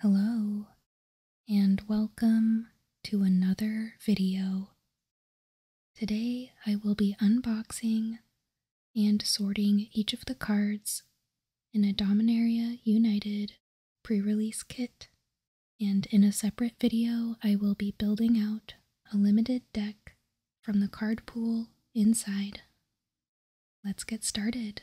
Hello, and welcome to another video. Today I will be unboxing and sorting each of the cards in a Dominaria United pre-release kit and in a separate video, I will be building out a limited deck from the card pool inside. Let's get started.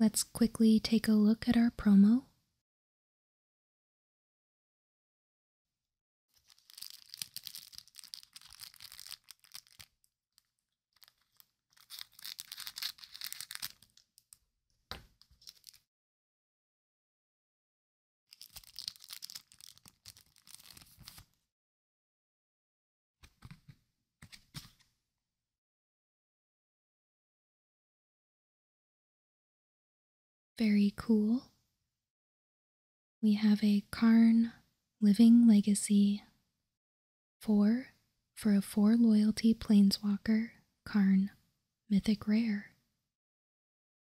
Let's quickly take a look at our promo. Very cool. We have a Karn Living Legacy 4 for a 4 loyalty Plainswalker Karn, Mythic Rare.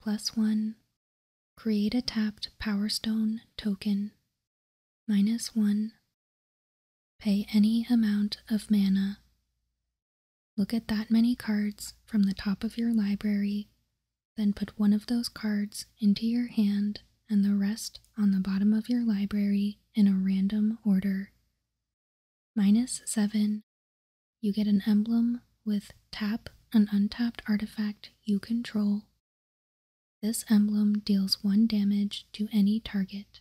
Plus 1. Create a tapped Powerstone token Minus 1. Pay any amount of mana. Look at that many cards from the top of your library, then put one of those cards into your hand and the rest on the bottom of your library in a random order. Minus 7. You get an emblem with tap an untapped artifact you control this emblem deals one damage to any target.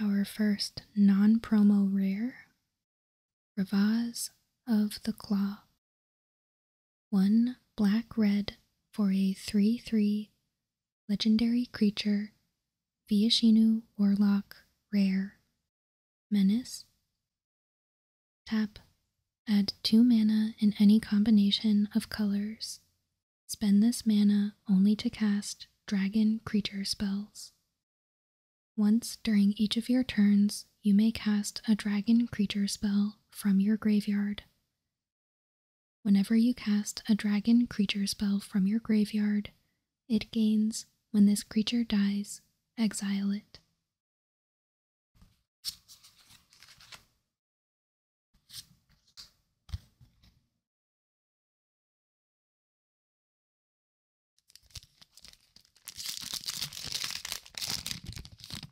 Our first non promo rare Ravaz of the Claw one black red for a 3 3 legendary creature, Viashinu Warlock Rare, Menace. Tap, add 2 mana in any combination of colors. Spend this mana only to cast dragon creature spells. Once during each of your turns, you may cast a dragon creature spell from your graveyard. Whenever you cast a dragon creature spell from your graveyard, it gains, when this creature dies, exile it.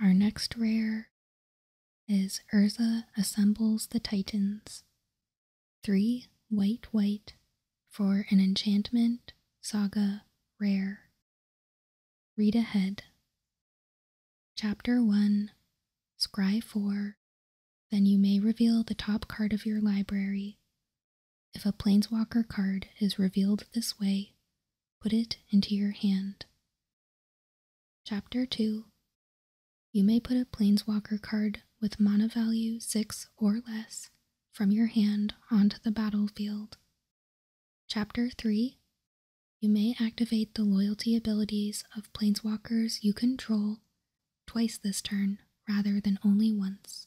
Our next rare is Urza Assembles the Titans. Three white white for an enchantment saga rare. Read ahead. Chapter 1 Scry 4 Then you may reveal the top card of your library if a planeswalker card is revealed this way, put it into your hand. Chapter 2 You may put a planeswalker card with mana value 6 or less from your hand onto the battlefield. Chapter 3 You may activate the loyalty abilities of planeswalkers you control twice this turn rather than only once.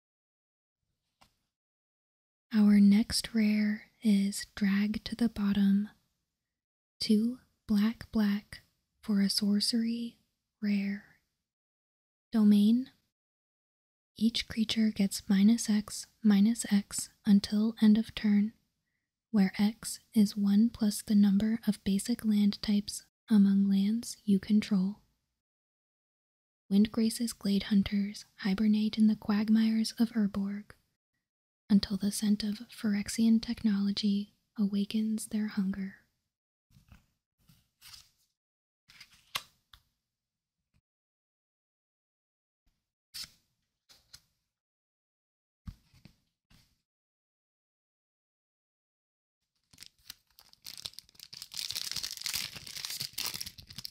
Our next rare is Drag to the Bottom. Two black black for a sorcery rare. Domain Each creature gets minus X minus X until end of turn, where X is 1 plus the number of basic land types among lands you control. Windgrace's glade hunters hibernate in the quagmires of Urborg until the scent of Phyrexian technology awakens their hunger.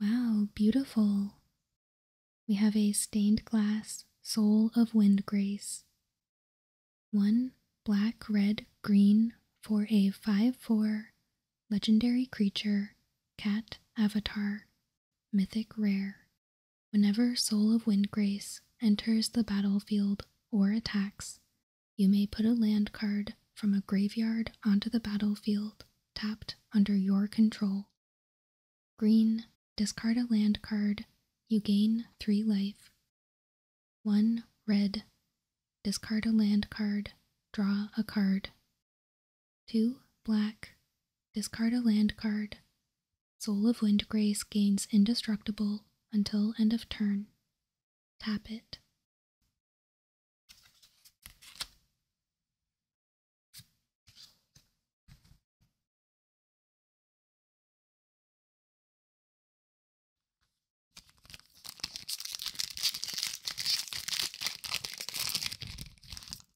Wow, beautiful. We have a stained glass soul of wind grace. One black, red, green for a 5 4 legendary creature, cat avatar, mythic rare. Whenever Soul of wind grace enters the battlefield or attacks, you may put a land card from a graveyard onto the battlefield tapped under your control. Green, discard a land card, you gain 3 life. 1. Red, discard a land card, draw a card. 2. Black, discard a land card, Soul of wind grace gains indestructible until end of turn. Tap it.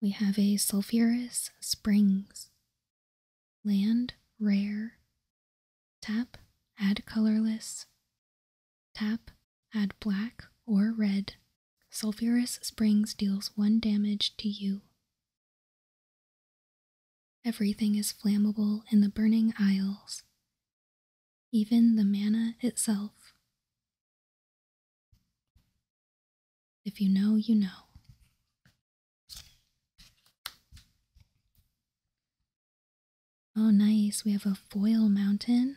We have a sulfurous springs, land rare, tap add colorless, tap add black or red. Sulfurous springs deals one damage to you. Everything is flammable in the burning aisles, even the manna itself. If you know, you know. Oh, nice. We have a foil mountain.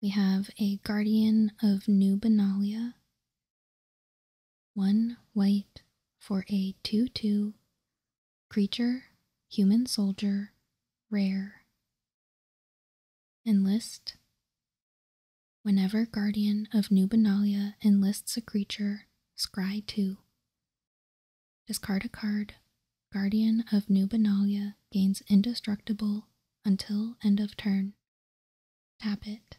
We have a Guardian of New Benalia, one white for a 2 2 creature, human soldier, rare. Enlist Whenever Guardian of Nubinalia enlists a creature, scry 2. Discard a card. Guardian of Nubinalia gains indestructible until end of turn. Tap it.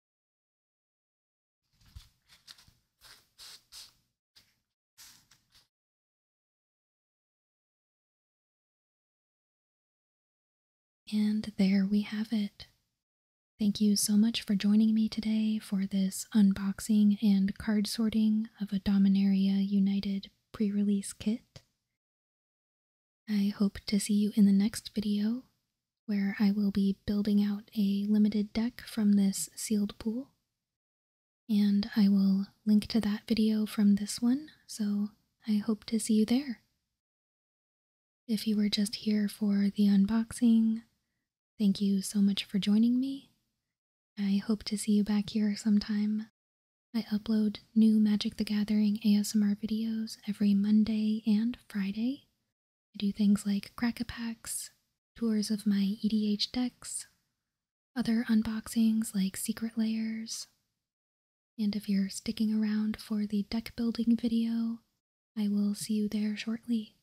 And there we have it. Thank you so much for joining me today for this unboxing and card sorting of a Dominaria United pre release kit. I hope to see you in the next video where I will be building out a limited deck from this sealed pool. And I will link to that video from this one, so I hope to see you there. If you were just here for the unboxing, thank you so much for joining me. I hope to see you back here sometime. I upload new Magic the Gathering ASMR videos every Monday and Friday, I do things like crack packs, tours of my EDH decks, other unboxings like secret layers, and if you're sticking around for the deck building video, I will see you there shortly.